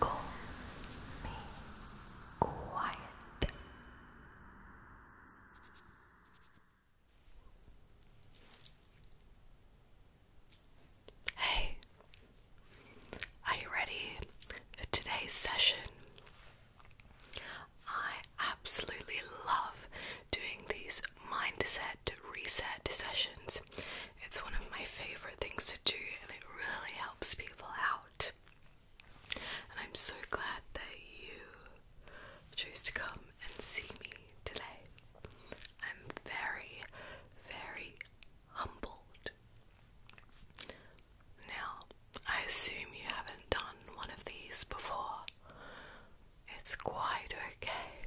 Call me quiet. Hey, are you ready for today's session? I absolutely love doing these is mindset reset sessions. It's one of my favorite things to do, and it really helps people out. And I'm so glad that you chose to come and see me today. I'm very, very humbled. Now, I assume you haven't done one of these before. It's quite okay.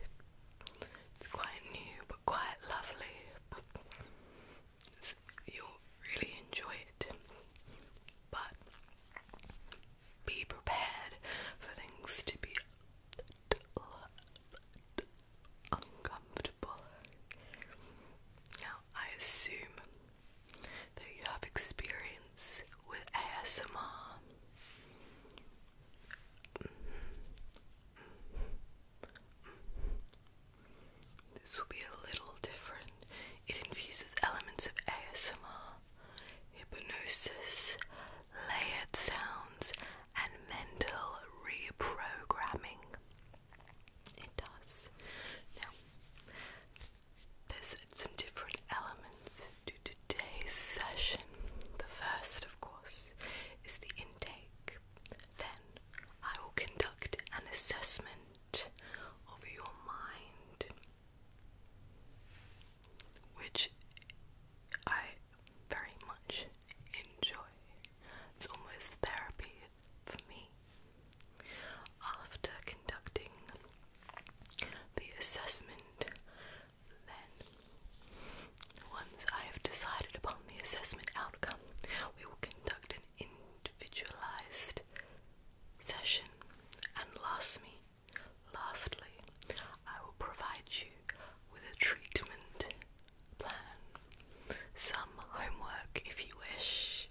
It's quite new but quite lovely. you'll really enjoy it, but be prepared for things to be uncomfortable. Now, I assume that you have experience with ASMR. Mm-hmm. This will be a little different. It infuses elements of ASMR, hypnosis, layered sounds, and mental reprogramming. It does. Now, there's some different elements to today's session. The first, of course is the intake. Then I will conduct an assessment of your mind, which I very much enjoy. It's almost therapy for me. After conducting the assessment, then, once I have decided upon the assessment outcome, we will conduct an individualized session. And lastly, lastly, I will provide you with a treatment plan, some homework if you wish.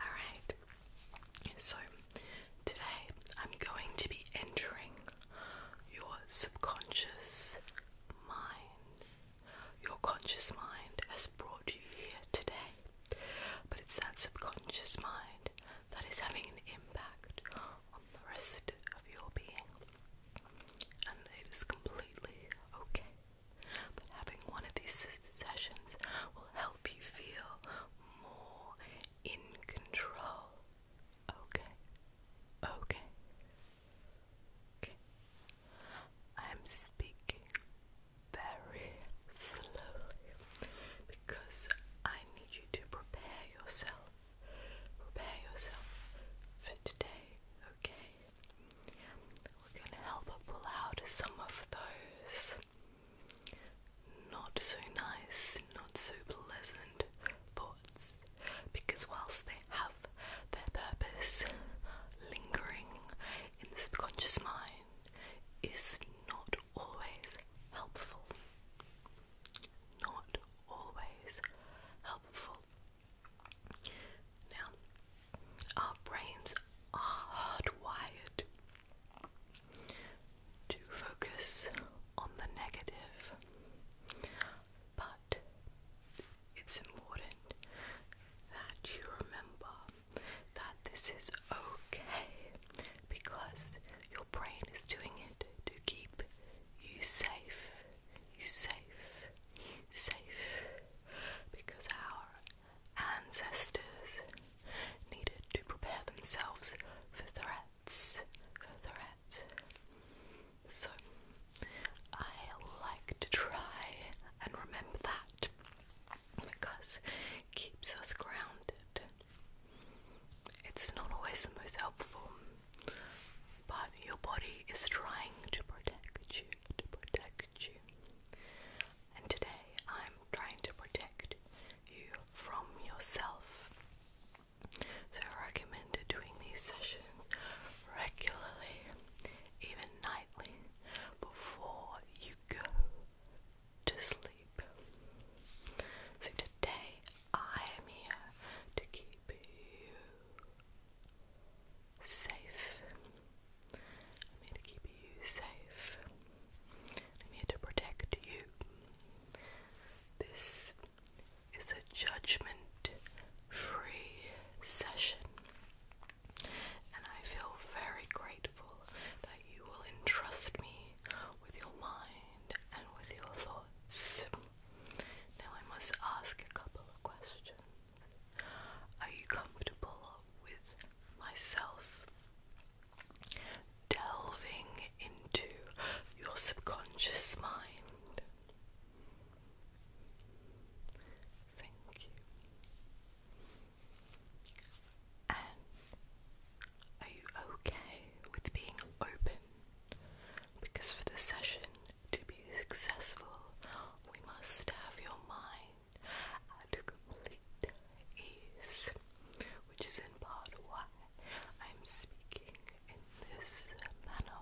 Alright, so today I'm going to be entering your subconscious mind. Your conscious mind has brought you here today, but it's that subconscious mind that is having an impact on the rest of your being, and it is completely okay. But having one of these sessions will help you feel more in control Okay. Okay. I'm speaking very slowly because I need you to prepare yourself. Prepare yourself for today, okay? We're gonna help pull out some of those not so nice, not so pleasant thoughts because whilst they have their purpose lingering in the subconscious mind is not always helpful. Not always helpful. Now, our brains are hardwired to focus on the negative, but it's important that you remember that this is okay because your brain is doing it to keep you safe, safe, safe because our ancestors needed to prepare themselves for threats threats, for So I like to try and remember that because keeps us grounded. It's not always the most helpful, but your body is trying to protect you, to protect you. And today I'm trying to protect you from yourself. So I recommend doing these sessions regularly, even nightly, before you go to sleep. So today I am here to keep you safe. I'm here to keep you safe. I'm here to protect you. This it's a judgment free session. And I feel very grateful that you will entrust me with your mind and with your thoughts. Now, I must ask a couple of questions. Are you comfortable with myself delving into your subconscious mind? Thank you. are you okay with being open? Because for the session to be successful, we must have your mind at complete ease, which is in part why I'm speaking in this manner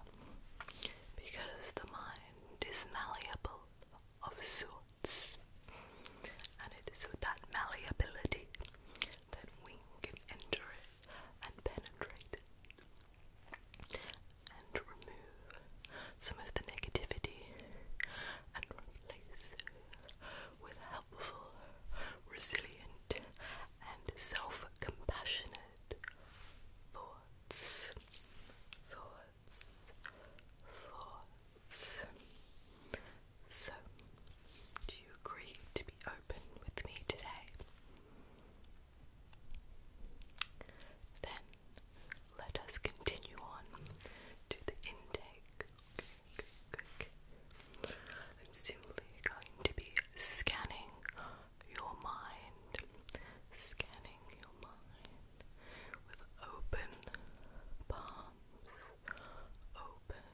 because the mind is malleable of sorts, and it is with that malleability that we can enter it and penetrate it and remove some of the negativity and replace it with helpful, resilient, and self compassionate thoughts, thoughts, thoughts. So, do you agree to be open with me today? Then let us continue on to the intake. I'm simply going to be scanning your mind, scanning your mind with open palms, open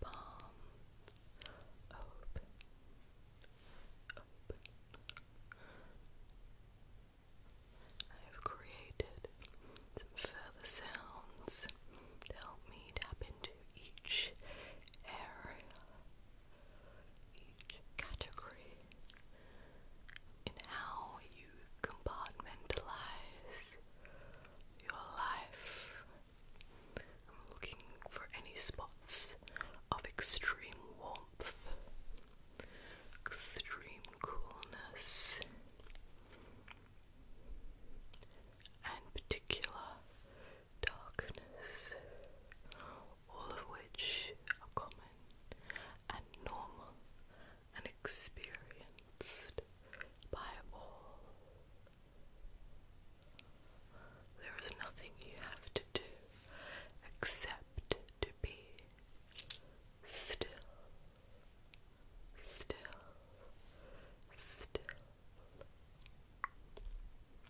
palm, open, open. I have created some further sounds to help me tap into each area, each category, in how you compartmentalize your life. I'm looking for any spots of extreme warmth, extreme coolness, and particular darkness, all of which are common and normal and experienced by all. There is nothing you have to do except to be still, still, still.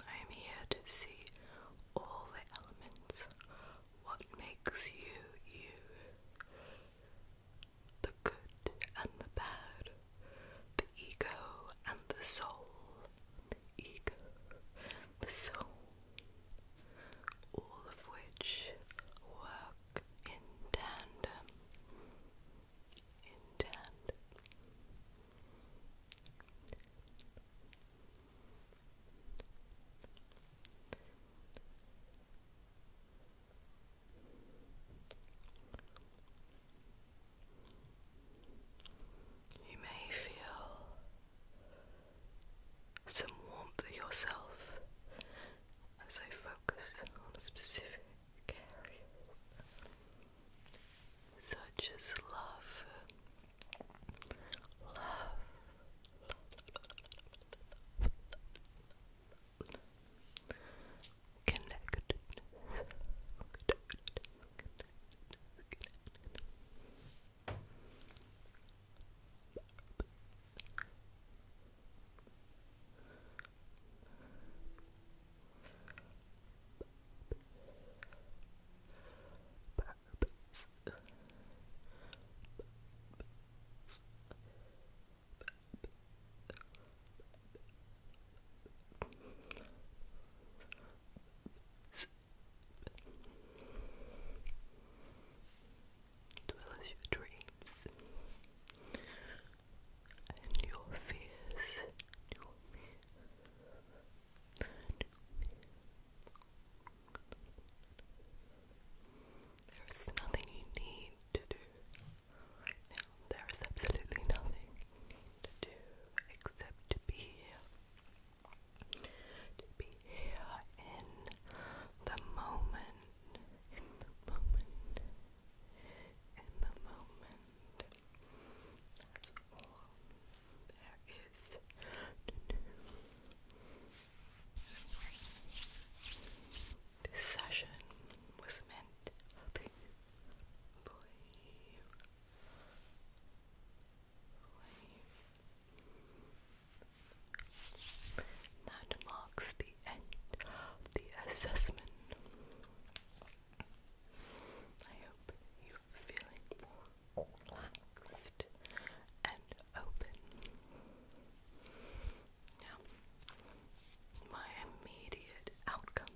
I am here to see all the elements. What makes you you? The good and the bad, the ego and the soul. The ego, the soul, all of which work in tandem. In tandem. You may feel some warmth yourself as I focus on specific area, such as love, love, love, Purpose. Purpose. as your dreams and your fears. There is nothing you need to do right now. There is absolutely nothing to do except to be here. To be here in the moment. In the moment. In the moment. That's all there this session was meant to be That marks the end of the assessment. I hope you're feeling more relaxed and open. Now, my immediate outcome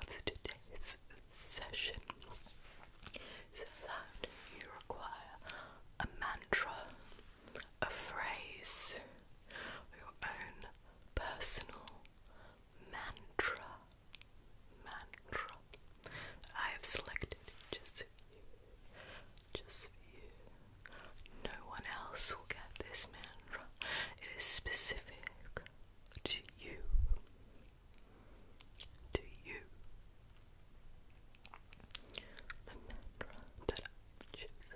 of today's session is that you require a mantra, a phrase, your own personal mantra mantra I have selected just for you. Just for you. No one else will get this mantra. It is specific to you. To you. The mantra that I've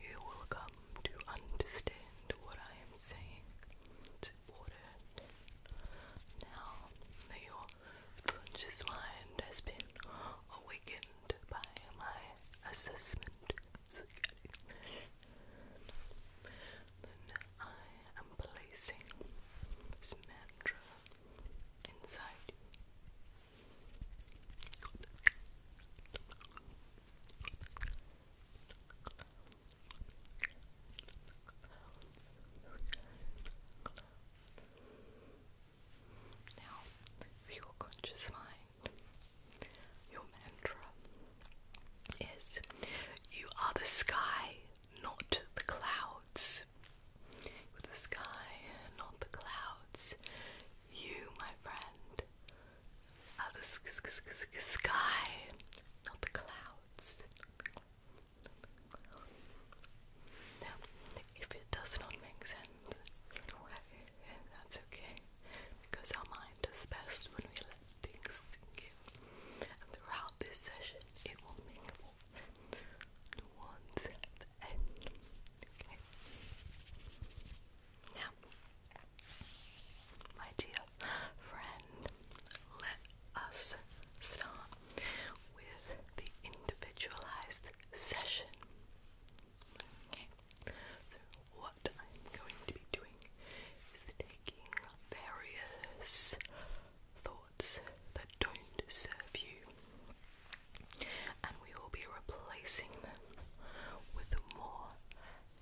you will come to understand what I am saying. now that your conscious mind has been awakened by my assessment. then I am placing this mantra inside you. Now, your conscious mind, your mantra is you are the sky, not the clouds clouds. the sky, not the clouds. You, my friend, are ah, the sk sk sky, not the clouds. if it does not make sense, that's okay, because our mind does best when we let things sink in. And throughout this session, it will make nuance at Now, my dear friend, let us start with the individualized session. So what I'm going to be doing is taking various thoughts that don't serve you, and we will be replacing them with more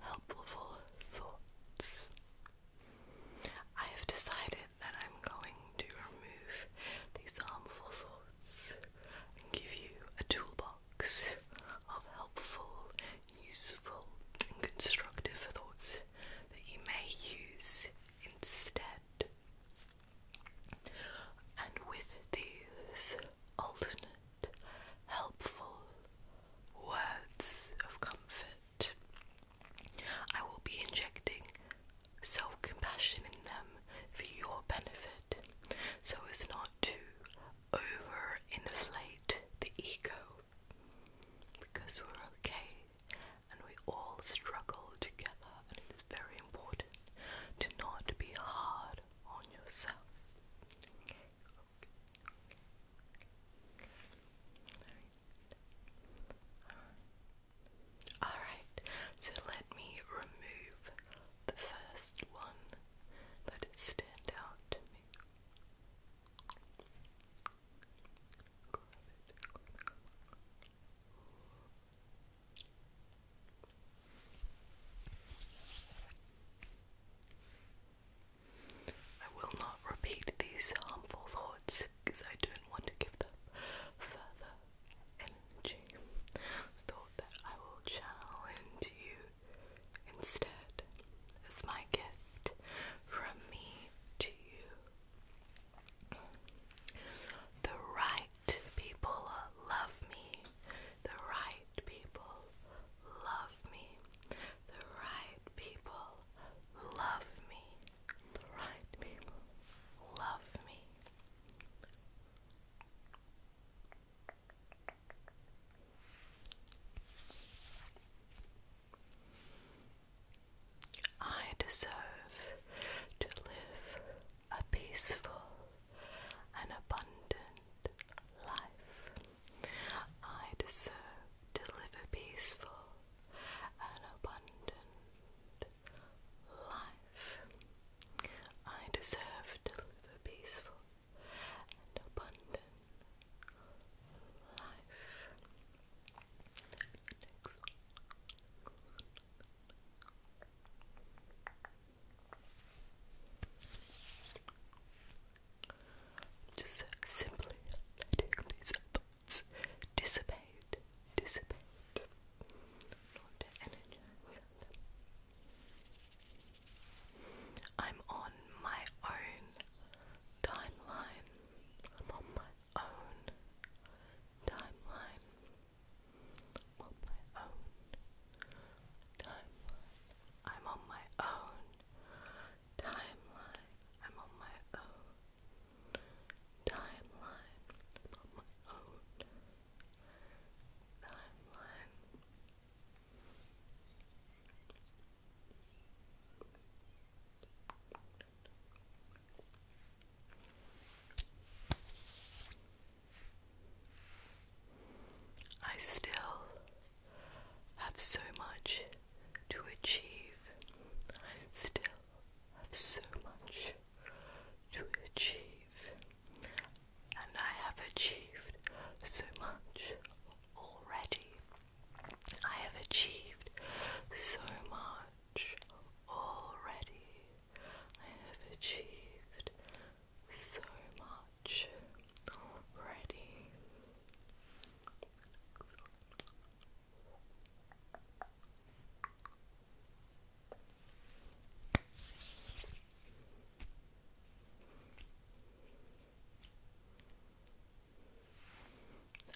helpful thoughts. I have decided that I'm going to remove these harmful thoughts and give you a toolbox of helpful, useful, and constructive thoughts that you may use instead. And with these alternate, helpful words of comfort, I will be injecting self compassion in them for your benefit so as not to overinflate the ego because we're okay and we all struggle together and it's very important to not be hard on yourself. Alright. so let me remove the first one that it stand out to me. I will not repeat these harmful thoughts because I don't want to give them further energy. Thought that I will channel you instead as my gift from me to you. The right people love me. The right people love me. The right people love me. The right people love me. I deserve to live a peaceful and abundant life. I deserve to live a peaceful and abundant life. I deserve to live a peaceful and abundant life. Just simply letting these thoughts dissipate, dissipate, I'm on my own timeline. I'm on my own timeline. I'm on my own timeline. I'm on my own timeline. I'm on my own timeline. on my own timeline. I still have so much to achieve. I still have so much to achieve. And I have achieved so much already. I have achieved so much already. I have achieved so much already.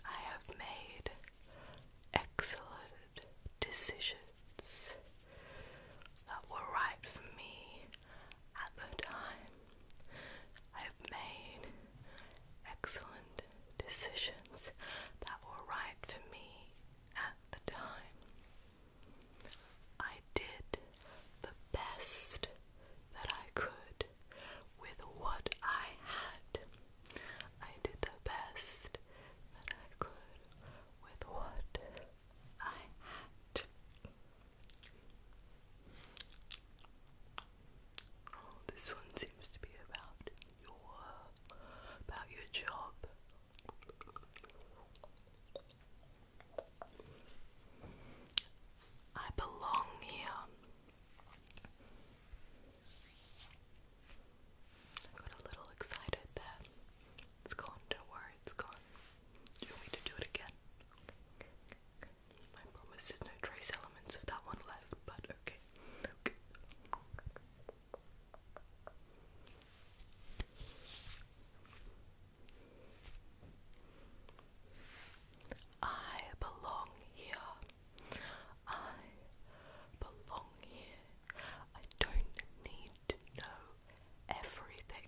I have made excellent decisions that were right for me at the time. I've made excellent decisions that were right for me at the time. I did the best that I could with what I had. I did the best that I could with what a hat. this one seems to be about your about your job. I belong here. I got a little excited there. It's gone, don't worry, it's gone. Do you want to do it again? Okay, promise there's no trace elements of that one left, but Okay. I belong here. I belong here. I don't need to know everything.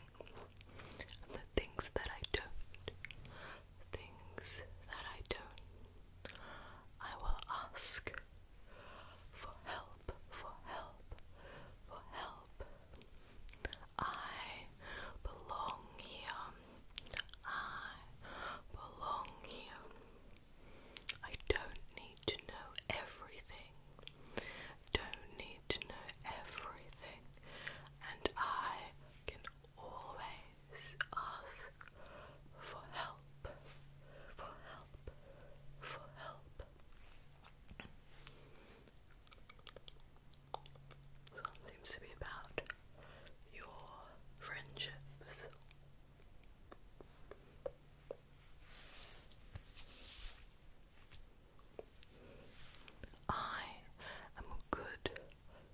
The things that I don't, things that I don't. I will ask for help, for help, for help. I belong here. I belong here. I don't need to know everything. Don't need to know everything, and I can always ask for help, for help, for help. This seems to be about your friendships. I am a good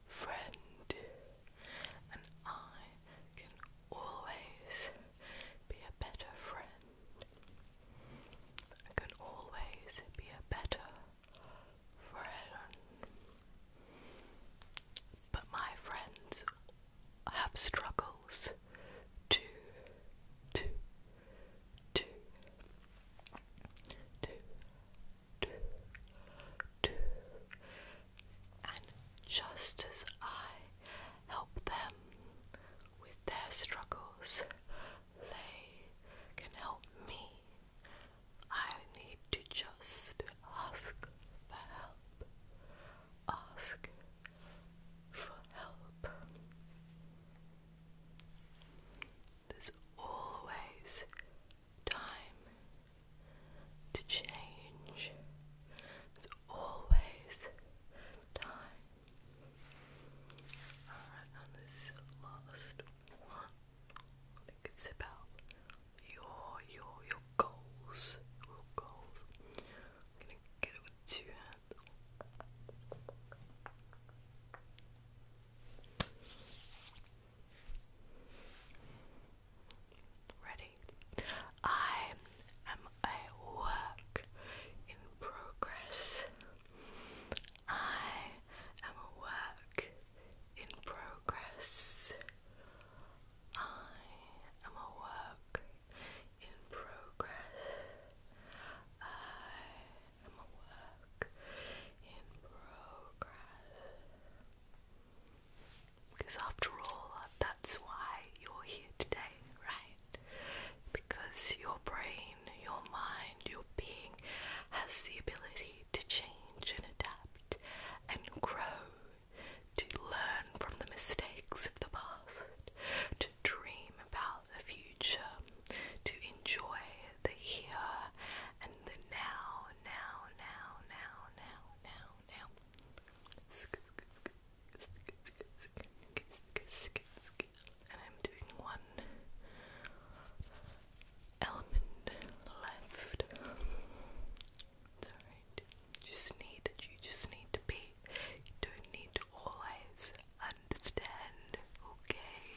friend, and I can always be a better friend. I can always be a better friend. But my friends have struggles too, too, two, two, two, two, and just as I help them with their struggles, they can help me. I need to just ask for help. Ask for help. There's always time to change. There's always time. Alright, and this last one. I think about your your your goals. Your goals. I'm gonna get it with two hands. Ready? I am a work in progress. I am a work in progress. I am a work in progress. I am a work in progress. Because after all, that's why you're here today, right? Because your brain, your mind, your being has the ability to change and adapt and grow, to learn from the mistakes of the past, dream about the future, to enjoy the here and the now, now, now, now, now, now, now. And I'm doing one element left. just need you just need to be you don't need to always understand, okay?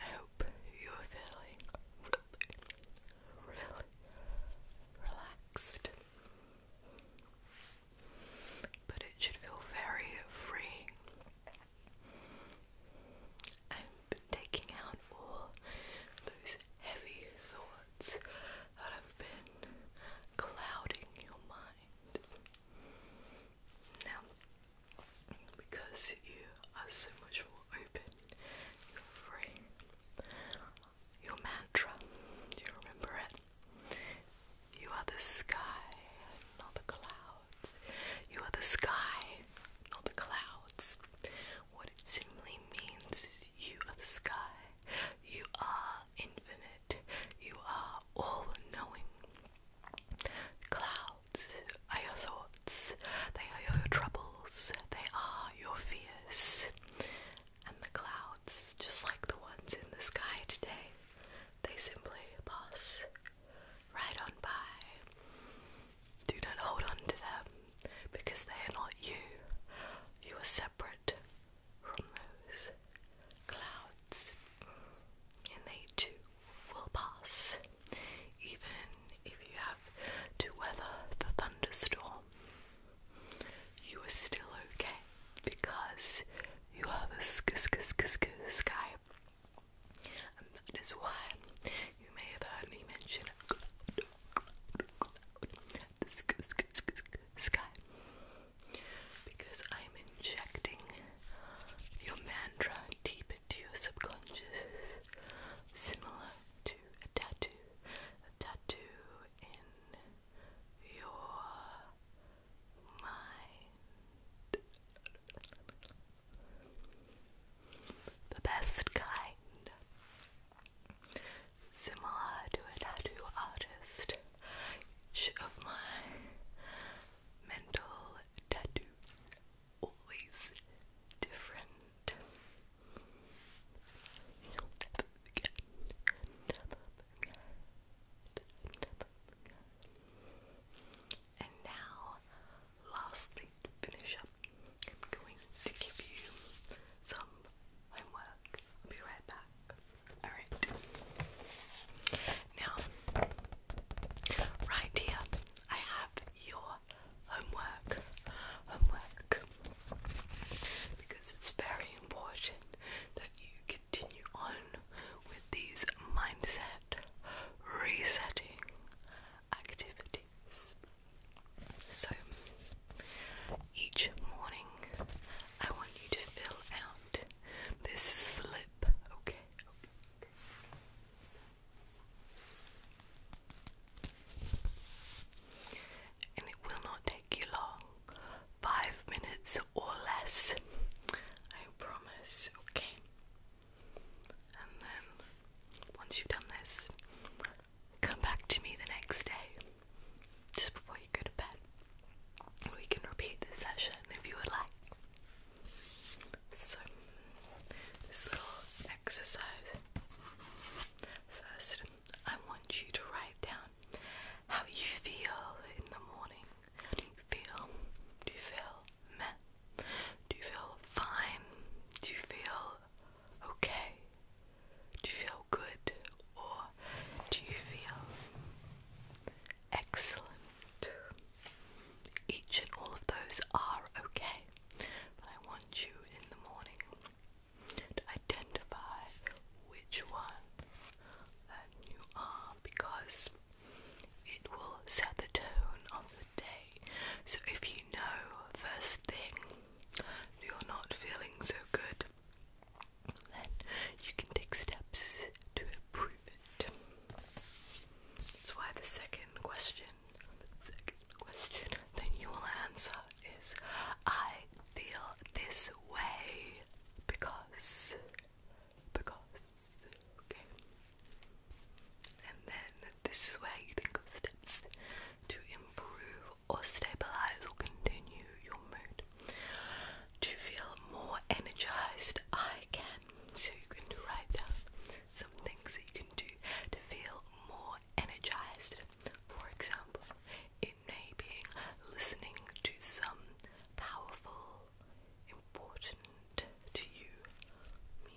I hope you're feeling really, relaxed. But it should feel very free. I'm taking out all those heavy thoughts that have been clouding your mind. Now, because you are so much more open, you're free. Your mantra, do you remember it? You are the sky, not the clouds. You are the sky, not the clouds. What it simply means is you are the sky. You are infinite. You are all knowing. Clouds are your thoughts, they are your troubles, they are your fears. And the clouds, just like the ones in the sky today, they simply pass right on by. Do not hold on to them because they are not you. You are separate from those clouds, and they too will pass. Even if you have to weather the thunderstorm, you are still okay because you are the sky. And that is why you may have heard me mention the sky. Because I'm injecting your mantra deep into your subconscious, similar to a tattoo. A tattoo in your mind. The best kind. Similar to a tattoo artist, of my mental tattoos always different. you And now, lastly, to finish up, I'm going to give you some homework. I'll be right back. Alright. Now, Right here, I have your homework. Homework. Because it's very important that you continue on with these mindset resetting activities. So, each morning, I want you to fill out this slip, okay? And it will not take you long five minutes or less, I promise. Okay, and then once you've done this, come back to me the next day just before you go to bed. We can repeat this session if you would like. So, this little exercise. First, I want you to write down how you feel in the morning. do you feel? Do you feel meh? Do you feel fine? Do you feel okay? Do you feel good? Or do you feel excellent? Each and all of those are okay, but I want you in the morning to identify which one that you are because it will set the tone of the day. So if you know first thing you're not feeling so good, then you can take steps to improve it. That's why the second question, the second question that you will answer is I feel this way because, because, okay. And then this is where you think of steps to improve or stabilize or continue your mood. To feel more energized, I can. So you can write down some things that you can do to feel more energized. For example, it may be listening to some powerful, important to you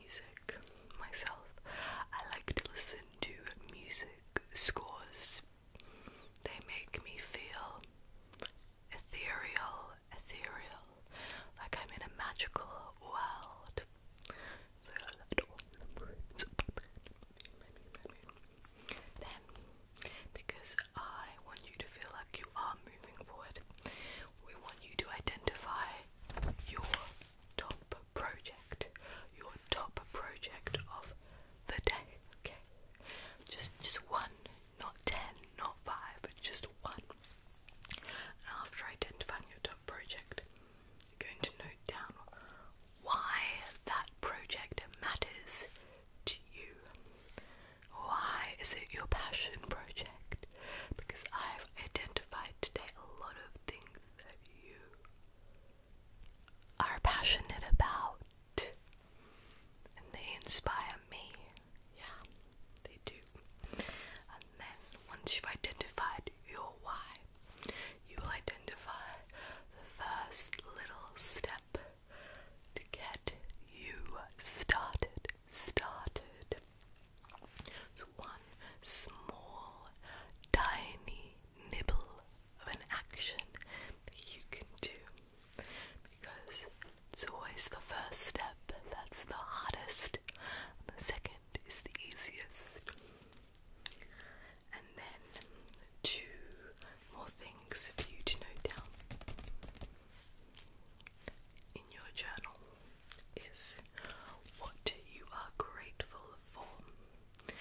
music. Myself, I like to listen to music scores. They make me feel ethereal ethereal, like I'm in a magical world. Then, because I want you to feel like you are moving forward, we want you to identify your top project, your top project of the day. Okay, just just one, not ten, not five, just one. And after identifying your top project, you're going to note down why that project matters to you. Why is it your passion project? Because I've identified today a lot of things that you are passionate about and they inspire me. Yeah, they do. And then once you've identified your why, you will identify the first little step to get you started. Started. So one small, tiny nibble of an action that you can do because it's always the first step that's the hardest, the second is the easiest. And then two more things for you to note down in your journal is what you are grateful for.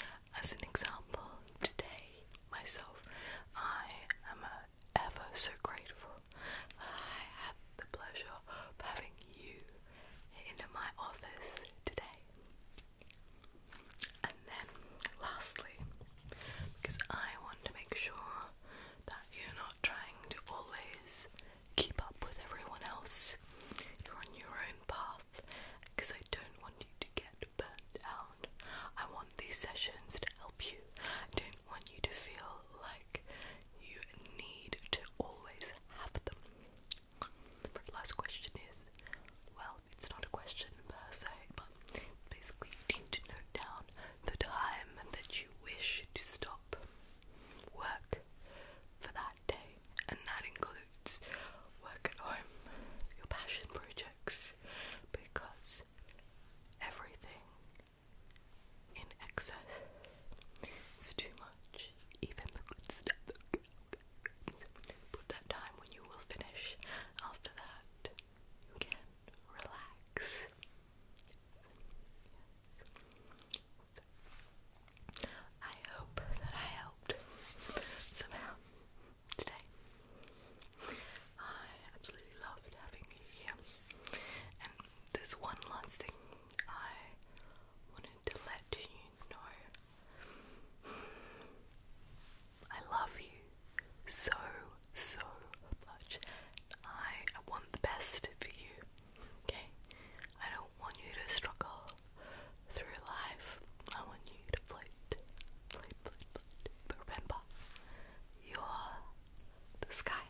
As an example, today myself, I am uh, ever so grateful that I had the pleasure of having you into my office today. And then, lastly, because I want to make sure that you're not trying to always keep up with everyone else, you're on your own path, because I don't want you to get burnt out. I want these sessions to help you. I don't want you to feel like you need to always have them. The Last question is well, it's not a question per se, but basically you need to note down the time that you wish to stop work for that day, and that includes work at home, your passion projects, because everything in excess. It's too much. Even the good stuff. Put that time when you will finish. After that, you can relax. I hope that I helped somehow today. I absolutely loved having you here, there's one last thing I wanted to let you know. I love you so, so much. I, want the best for you, okay? I don't want you to struggle through life. I want you to float, float, float, float. But remember, you're the sky.